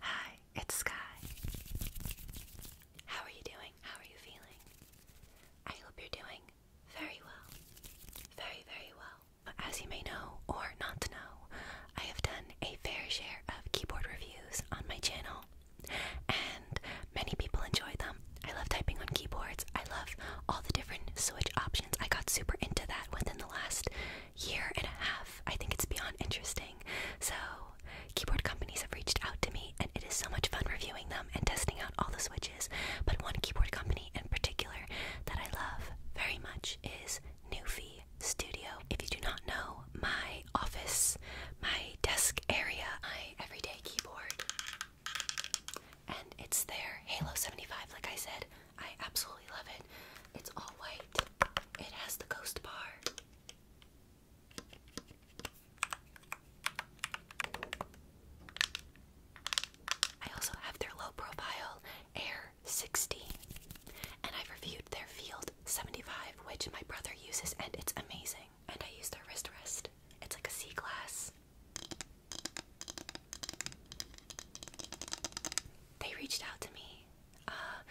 Hi, it's Sky. How are you doing? How are you feeling? I hope you're doing very well. Very, very well. As you may know, or not know, I have done a fair share of keyboard reviews on my channel, and many people enjoy them, I love typing on keyboards. I love all the different switch options. I got super into that within the last year and a half. I think it's beyond interesting. So, keyboard companies have reached out to me, and it is so much fun reviewing them and testing out all the switches. But one keyboard company in particular that I love very much is Newfie Studio. If you do not know, my office, my desk area, my everyday keyboard and it's their Halo 75, like I said. I absolutely love it. It's all white. It has the ghost bar. I also have their low profile Air 60. And I've reviewed their Field 75, which my brother uses, and it's amazing and I use their wrist rest. It's like a sea glass. They reached out to me. Uh,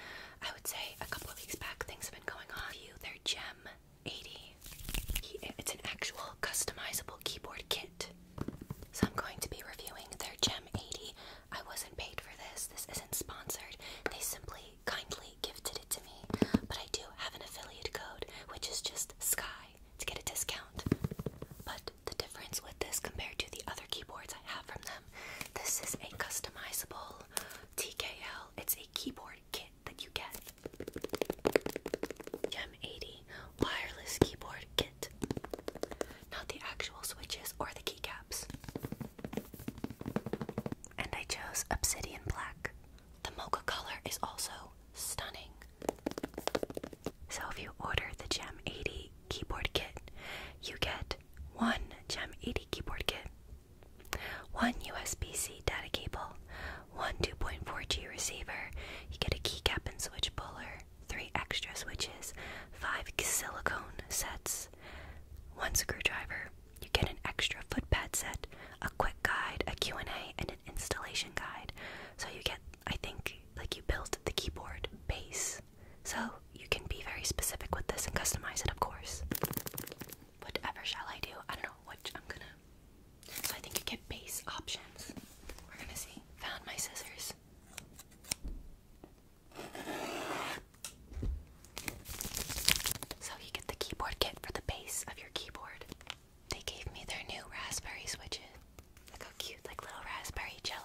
I would say a couple of weeks back, things have been going on. You, their Gem 80. It's an actual customizable keyboard kit. So I'm going to be reviewing their Gem 80. I wasn't paid for this. This isn't sponsored. They simply kindly gifted it to me. But I do have an affiliate code, which is just Sky to get a discount. But the difference with this compared to the other keyboards I have from them, this is a customizable TKL. It's a keyboard kit that you get. Gem 80 wireless keyboard kit. Not the actual switches or the keycaps. And I chose Obsidian Black. The mocha color is also stunning. So if you order the Gem 80 keyboard kit, you get one Gem 80 keyboard kit, one USB-C data cable, one 2.4G receiver, you get a keycap and switch puller, three extra switches, five silicone sets, one screwdriver, you get an extra footpad set, a quick guide, a Q&A, and installation guide. So you get, I think, like you built the keyboard base. So you can be very specific with this and customize it, of course. Whatever shall I do? I don't know what I'm gonna. So I think you get base options. We're gonna see. Found my scissors. So you get the keyboard kit for the base of your keyboard. They gave me their new raspberry switches. Look how cute, like little raspberry jello.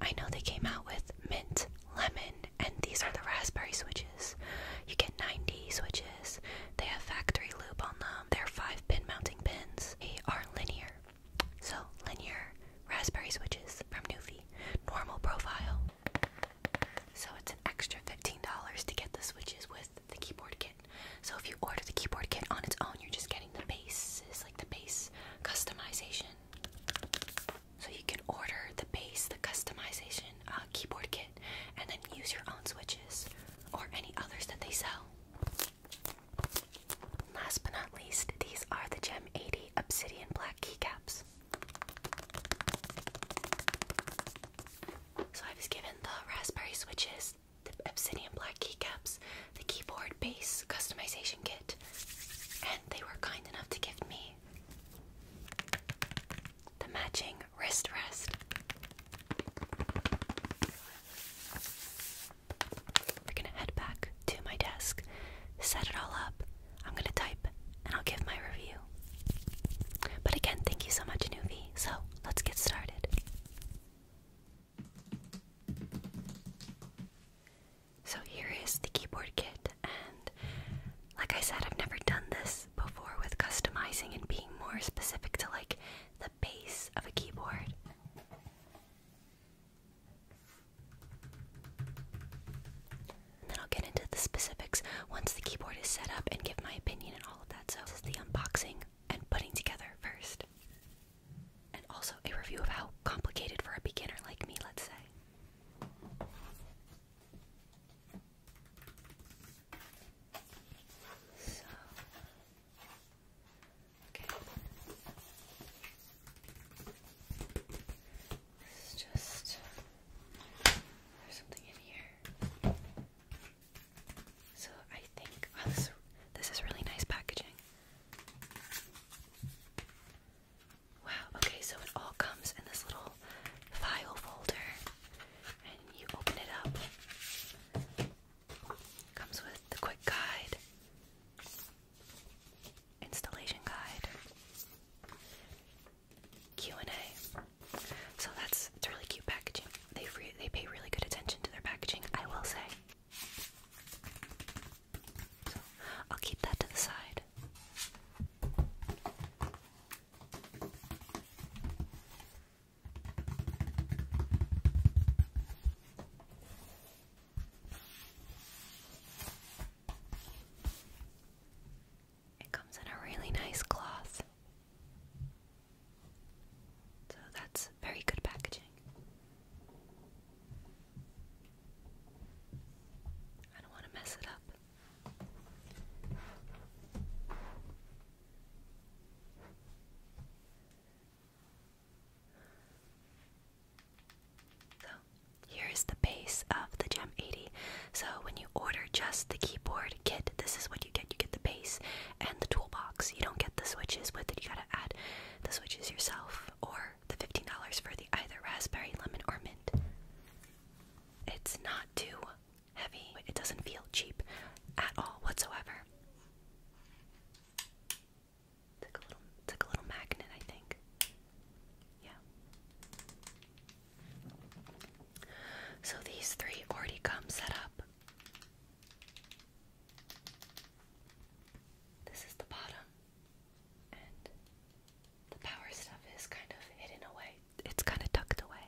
I know they came out with mint, lemon, and these are the raspberry switches. You get 90 switches. They have factory loop on them. They're five pin mounting pins. They are linear. So, linear raspberry switches from Newfie. Normal profile. So it's an extra $15 to get the switches with the keyboard kit. So if you order the keyboard kit on its own, you're just getting the base, like the base customization. So you can order the base, the customization uh, keyboard kit, and then use your own switches or any others that they sell. Last but not least, these are the Gem 80 Obsidian Black keycaps. So I was given the raspberry switches, the obsidian black keycaps, the keyboard base customization kit, and they were kind enough to give me the matching wrist rest. We're gonna head back to my desk, set it all up. I'm gonna type, and I'll give my review. But again, thank you so much, Nuvi. So let's get started. So here is the keyboard kit, and like I said, I've never done this before with customizing and being more specific to like the base of a keyboard. And then I'll get into the specifics once the keyboard is set up and give my opinion and all of that. So, this is the unboxing and putting together first. And also a review of how complicated for a beginner like me, let's say. So, okay. It's just there's something in here. So I think wow, oh, this, this is really nice packaging. Wow, okay, so it all comes in this little file folder, and you open it up. Comes with the quick guide, installation guide, Q&A. So that's it's really cute packaging. They they pay really good attention to their packaging, I will say. I'll keep that to the side. It comes in a really nice cloth. So that's very good packaging. I don't want to mess it up. So, here is the base of the Gem 80. So, when order just the keyboard kit, this is what you get. You get the base and the toolbox. You don't get the switches with it. You gotta add the switches yourself or the $15 for the either raspberry, lemon, or mint. It's not too heavy. It doesn't feel cheap at all whatsoever. it's like a little magnet, I think. Yeah. So these three already come set up. This is the bottom, and the power stuff is kind of hidden away. It's kind of tucked away.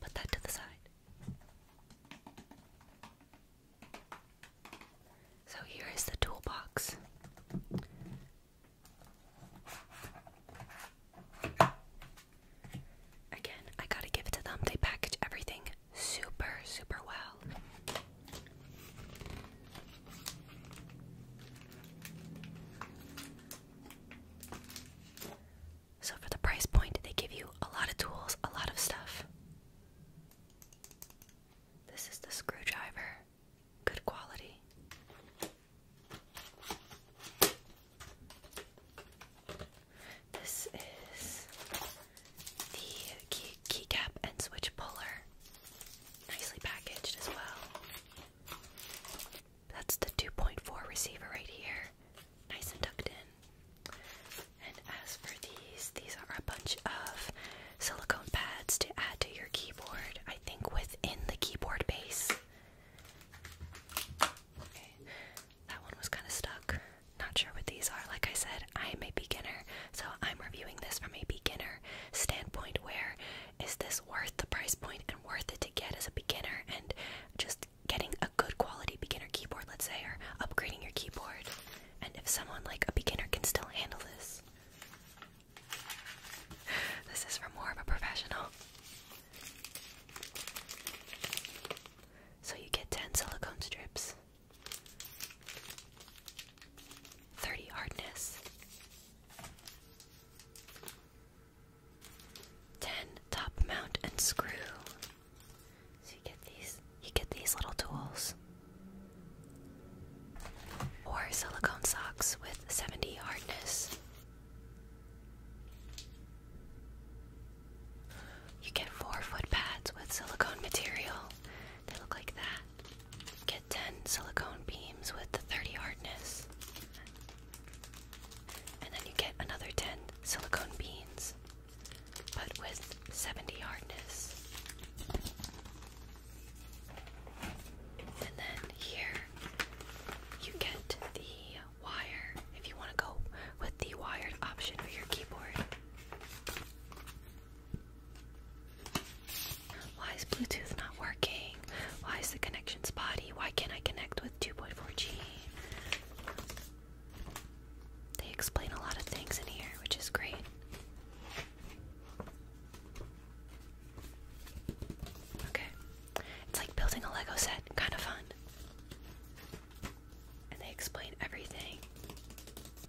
Put that to the side. So here is the toolbox. Again, I gotta give it to them. They package everything super, super well. So, for the price point, they give you a lot of tools, a lot of stuff. This is the screwdriver. Good quality. This is the key keycap and switch puller. Nicely packaged as well. That's the 2.4 receiver right here. Nice and tucked in. And as for these, these are a bunch of silicone pads to add to your keyboard, I think within the keyboard base. that one was kind of stuck. Not sure what these are. Like I said, I'm a beginner, so I'm reviewing this from a beginner standpoint where is this worth the price point and worth it to get as a beginner and just getting a good quality beginner keyboard, let's say, or upgrading your keyboard. And if someone like a beginner can still handle this this is for more of a professional. So you get 10 silicone strips, 30 hardness, 10 top mount and screw. So you get these you get these little tools. Or silicone socks with 70 hardness. You get four foot pads with silicone material. They look like that. You get 10 silicone beams with 30 hardness. And then you get another 10 silicone beans but with 70 hardness. And then here you get the wire if you want to go with the wired option for your keyboard. Why is Bluetooth not working? Why is the connection spotty? Why can't I connect with 2.4G? They explain a lot of things in here, which is great. Okay. It's like building a Lego set, kind of fun. And they explain everything.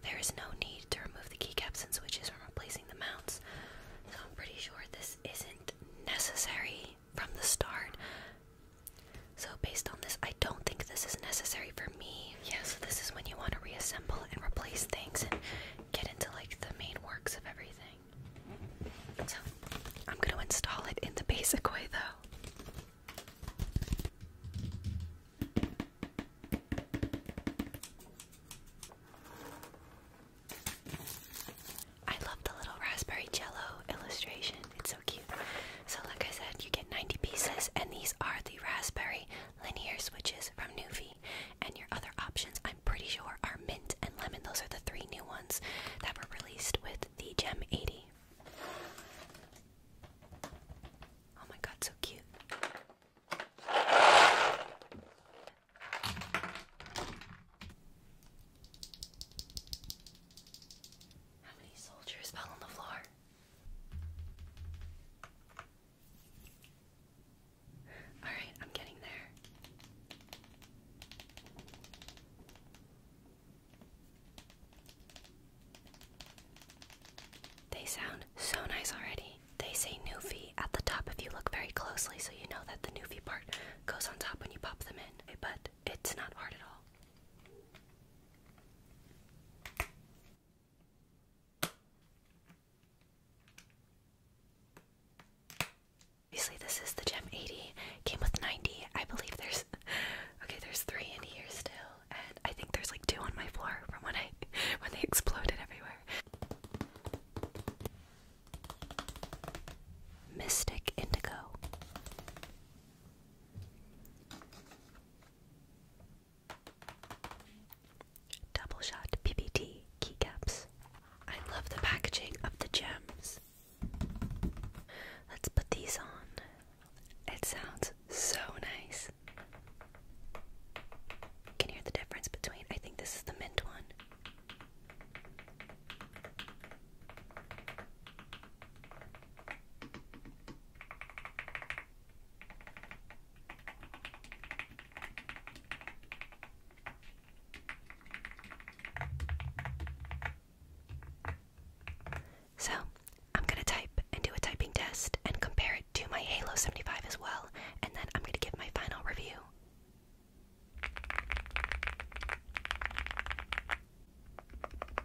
There is no need to remove the keycaps and switches from replacing the mounts. So I'm pretty sure this isn't necessary from the start. So based on this, I don't think this is necessary for me. Yeah, so this is when you want to reassemble and replace things and get into like the main works of everything. So I'm going to install it in the basic way though. I love the little raspberry jello illustration. It's so cute. So like I said, you get 90 pieces and these are the raspberry linear switches from Nuvi, and your other options, I'm pretty sure, are mint and lemon. Those are the three new ones that were released with the Gem 80. Oh my god, so cute. How many soldiers fell on the floor? Alright, I'm getting there. They sound so nice already. They say Newfie at the top if you look very closely, so you know that the Newfie part goes on top when you pop them in, eh, but it's not hard at all. Obviously this is the gem 80. Came with 90. I believe there's okay, there's three in here still, and I think there's like two on my floor from when I when they exploded everywhere. Mystic Indigo. Double shot PPT keycaps. I love the packaging of the gems. Let's put these on. It sounds so nice. You can hear the difference between, I think this is the mint one. So, I'm going to type and do a typing test and compare it to my Halo 75 as well, and then I'm going to give my final review.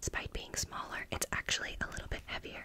Despite being smaller, it's actually a little bit heavier.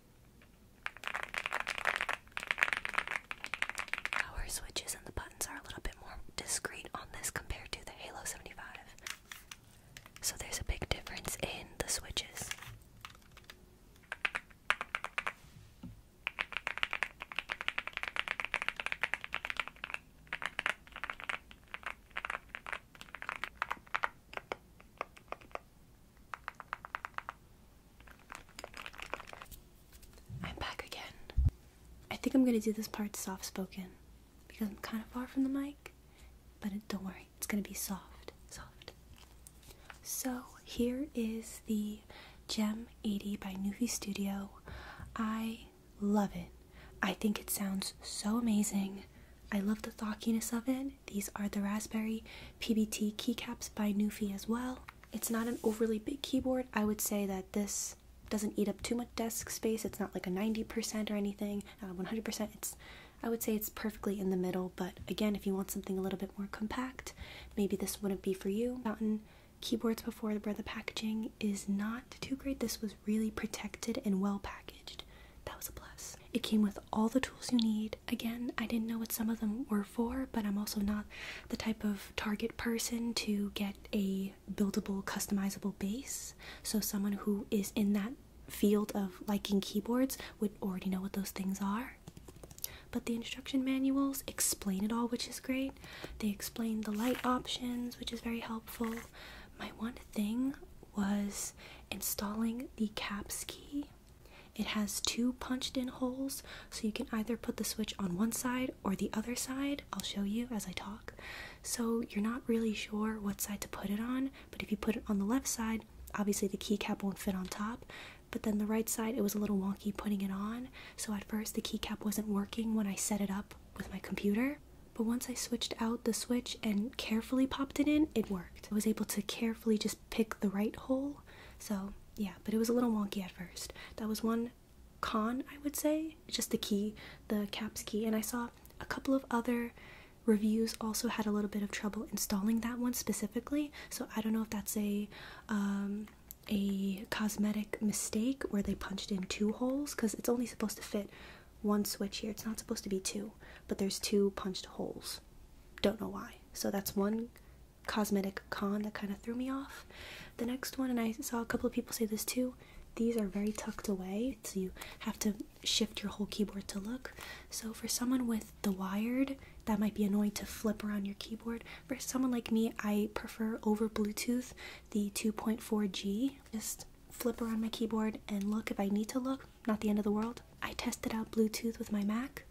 Our switches and the buttons are a little bit more discreet on this compared to the Halo 75. So there's a big difference in the switches. I'm back again. I think I'm gonna do this part soft spoken because I'm kind of far from the mic, but don't worry, it's gonna be soft, soft. So here is the Gem 80 by Nuvi Studio. I love it. I think it sounds so amazing. I love the thockiness of it. These are the Raspberry PBT keycaps by Newfie as well. It's not an overly big keyboard. I would say that this doesn't eat up too much desk space. It's not like a 90% or anything, 100%. it's I would say it's perfectly in the middle, but again, if you want something a little bit more compact, maybe this wouldn't be for you. Mountain keyboards before where the packaging is not too great. This was really protected and well packaged. That was a plus. It came with all the tools you need. Again, I didn't know what some of them were for, but I'm also not the type of target person to get a buildable, customizable base. So, someone who is in that field of liking keyboards would already know what those things are. But the instruction manuals explain it all, which is great. They explain the light options, which is very helpful. My one thing was installing the caps key it has two punched in holes, so you can either put the switch on one side or the other side. I'll show you as I talk. So you're not really sure what side to put it on, but if you put it on the left side, obviously the keycap won't fit on top. But then the right side, it was a little wonky putting it on, so at first the keycap wasn't working when I set it up with my computer. But once I switched out the switch and carefully popped it in, it worked. I was able to carefully just pick the right hole. So, yeah, but it was a little wonky at first. That was one con, I would say, just the key, the caps key. And I saw a couple of other reviews also had a little bit of trouble installing that one specifically. So, I don't know if that's a um, a cosmetic mistake where they punched in two holes because it's only supposed to fit one switch here. It's not supposed to be two, but there's two punched holes. Don't know why. So that's one cosmetic con that kind of threw me off. The next one, and I saw a couple of people say this too, these are very tucked away, so you have to shift your whole keyboard to look. So for someone with the wired, that might be annoying to flip around your keyboard. For someone like me, I prefer over Bluetooth the 2.4G. Just flip around my keyboard and look if I need to look not the end of the world. I tested out Bluetooth with my Mac.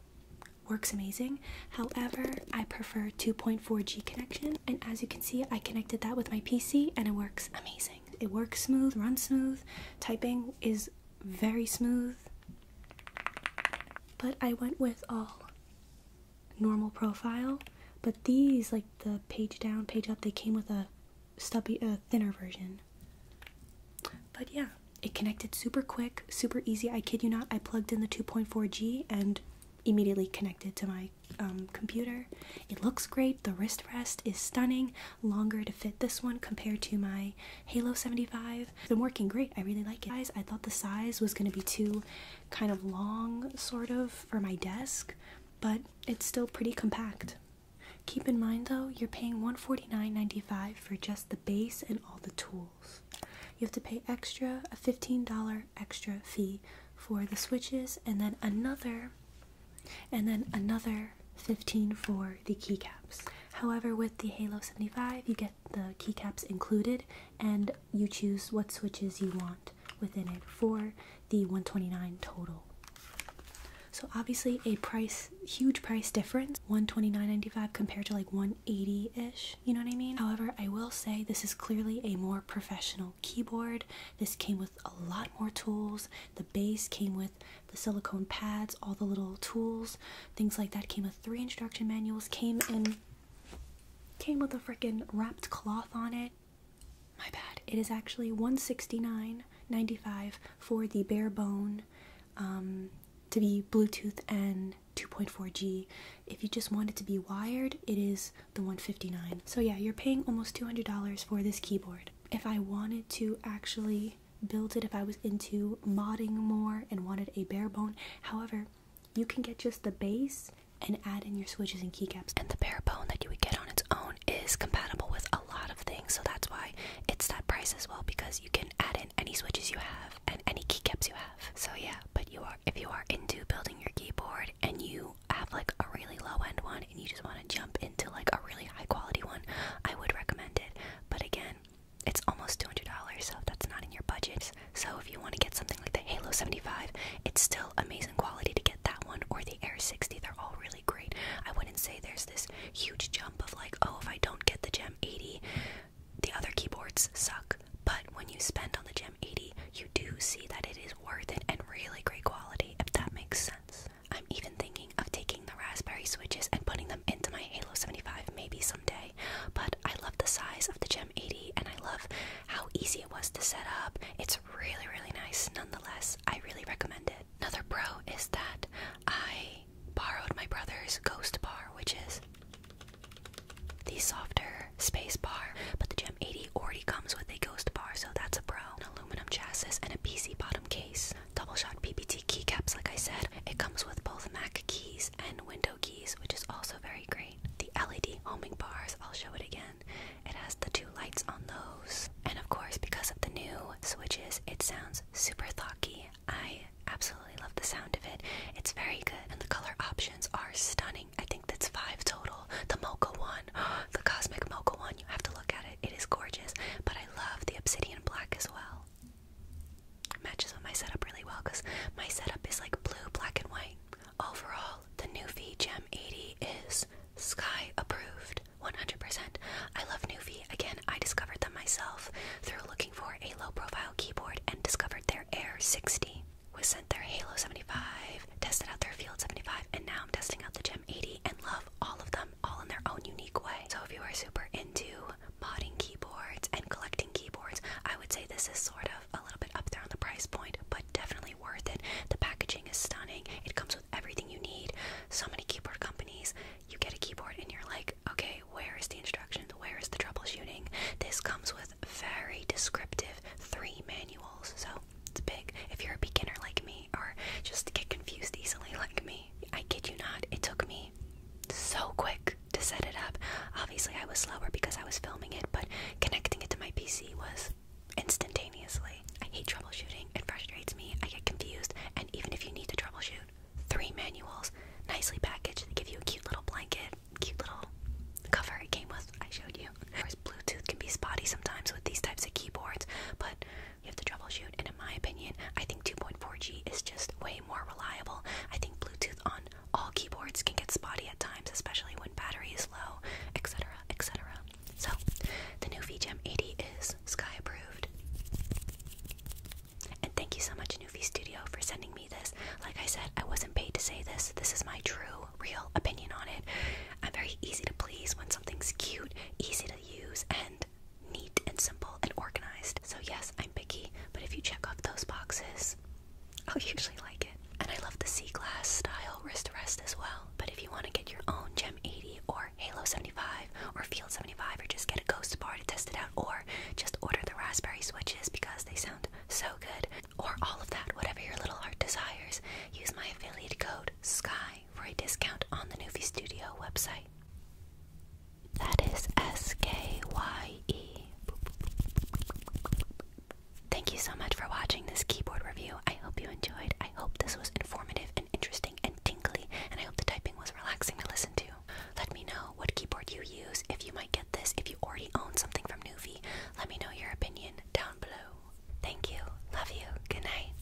Works amazing. However, I prefer 2.4G connection, and as you can see, I connected that with my PC and it works amazing. It works smooth, runs smooth, typing is very smooth. But I went with all normal profile, but these, like the page down, page up, they came with a stubby, a uh, thinner version. But yeah, it connected super quick, super easy. I kid you not, I plugged in the 2.4G and immediately connected to my um, computer. It looks great. The wrist rest is stunning, longer to fit this one compared to my Halo 75. It's been working great. I really like it. Guys, I thought the size was going to be too kind of long, sort of, for my desk, but it's still pretty compact. Keep in mind though, you're paying $149.95 for just the base and all the tools. You have to pay extra, a $15 extra fee for the switches and then another and then another 15 for the keycaps. However, with the Halo 75, you get the keycaps included and you choose what switches you want within it for the 129 total. So obviously a price huge price difference, 129.95 compared to like 180-ish, you know what I mean? However, I will say this is clearly a more professional keyboard. This came with a lot more tools. The base came with the silicone pads, all the little tools, things like that came with three instruction manuals, came in came with a freaking wrapped cloth on it. My bad. It is actually 169 95 for the bare bone um, to be Bluetooth and 2.4G. If you just want it to be wired, it is the 159. So yeah, you're paying almost $200 for this keyboard. If I wanted to actually build it, if I was into modding more and wanted a bare bone, however, you can get just the base and add in your switches and keycaps. And the bare bone that you would get on its own is compatible with a lot of things, so that's why it's that price as well because you can add in any switches you have and any keycaps you have. So yeah, but you are if you are into building your keyboard and you have like a really low end one and you just want to jump into like a really high quality one, I would recommend it. But again, it's almost two hundred dollars, so that's not in your budget. So if you want to get something like the Halo seventy five, it's still amazing quality to get that one or the the Air 60, they're all really great. I wouldn't say there's this huge jump of like, oh, if I don't get the Gem 80, the other keyboards suck. But when you spend on the Gem 80, you do see that it is worth it and really great quality, if that makes sense. I'm even thinking of taking the Raspberry switches and putting them into my Halo 75 maybe someday, but I love the size of the Gem 80 and I love how easy it was to set up. It's really, really nice nonetheless. I really recommend it another pro is that I borrowed my brother's Ghost Bar, which is the softer space bar, but the Gem 80 already comes with a Ghost Bar, so that's a pro. An aluminum chassis and a PC bottom case. Double shot PBT keycaps, like I said. It comes with both Mac keys and window keys, which is also very great. The LED homing bars, I'll show it again. It has the two lights on those. And of course, because of the new switches, it sounds super thocky. I absolutely love the sound of it. It's very good, and the color options are stunning. I think that's five total. The mocha one, the cosmic mocha one, you have to look at it. It is gorgeous, but I love the obsidian black as well. Matches with my setup really well because my setup is like blue, black, and white. Overall, the new V Gem 80 is Sky approved 100%. I love Nuvi. Again, I discovered them myself through looking for a low profile keyboard and discovered their Air 60. Was sent their Halo 75, tested out their Field 75, and now I'm testing out the Gem 80 and love all of them, all in their own unique way. So if you are super into modding keyboards and collecting keyboards, I would say this is sort of a little bit up there on the price point, but definitely worth it. The packaging is stunning. It comes with everything you need. So many keyboard companies, you get a keyboard and you're like, okay, where is the instructions? Where is the troubleshooting? This comes with very descriptive three manuals, so it's big. If you're a beginner like me, or just get confused easily like me, I kid you not, it took me so quick to set it up. Obviously, I was slower because I was filming it, but connecting it to my PC was instantaneously. I hate troubleshooting. It frustrates me. I get confused. And even if you need to troubleshoot, three manuals, nicely packaged. They give you a cute little blanket, cute little cover it came with. I showed you. Of course, Bluetooth can be spotty sometimes with these types of keyboards, but you have to troubleshoot. And in my opinion, I think 2.4G is just way more reliable. I think Bluetooth on all keyboards can get spotty at times, especially when battery is low, etc., etc. So, the new VGem 80 is Sky approved. And thank you so much, Nuvi Studio, for sending me this. Like I said, I wasn't paid to say this. This is my true, real opinion on it. I'm very easy to please when something's cute, easy to use, and neat and simple and organized. So, yes, I'm picky, but if you check off those boxes, I'll oh, usually like it. And I love the sea glass style wrist rest as well. But if you want to get your own Gem 80 or Halo 75 or Field 75 or just get a Ghost Bar to test it out or just order the raspberry switches because they sound so good or all of that, whatever your little heart desires. Use my affiliate code SKY for a discount on the Nufi Studio website. That is S K Y E. Thank you so much for watching this keyboard review. I hope you enjoyed. I hope this was informative and interesting and tingly, and I hope the typing was relaxing to listen to. Let me know what keyboard you use, if you might get this, if you already own something from Nuvi. Let me know your opinion down below. Thank you. Love you. Good night.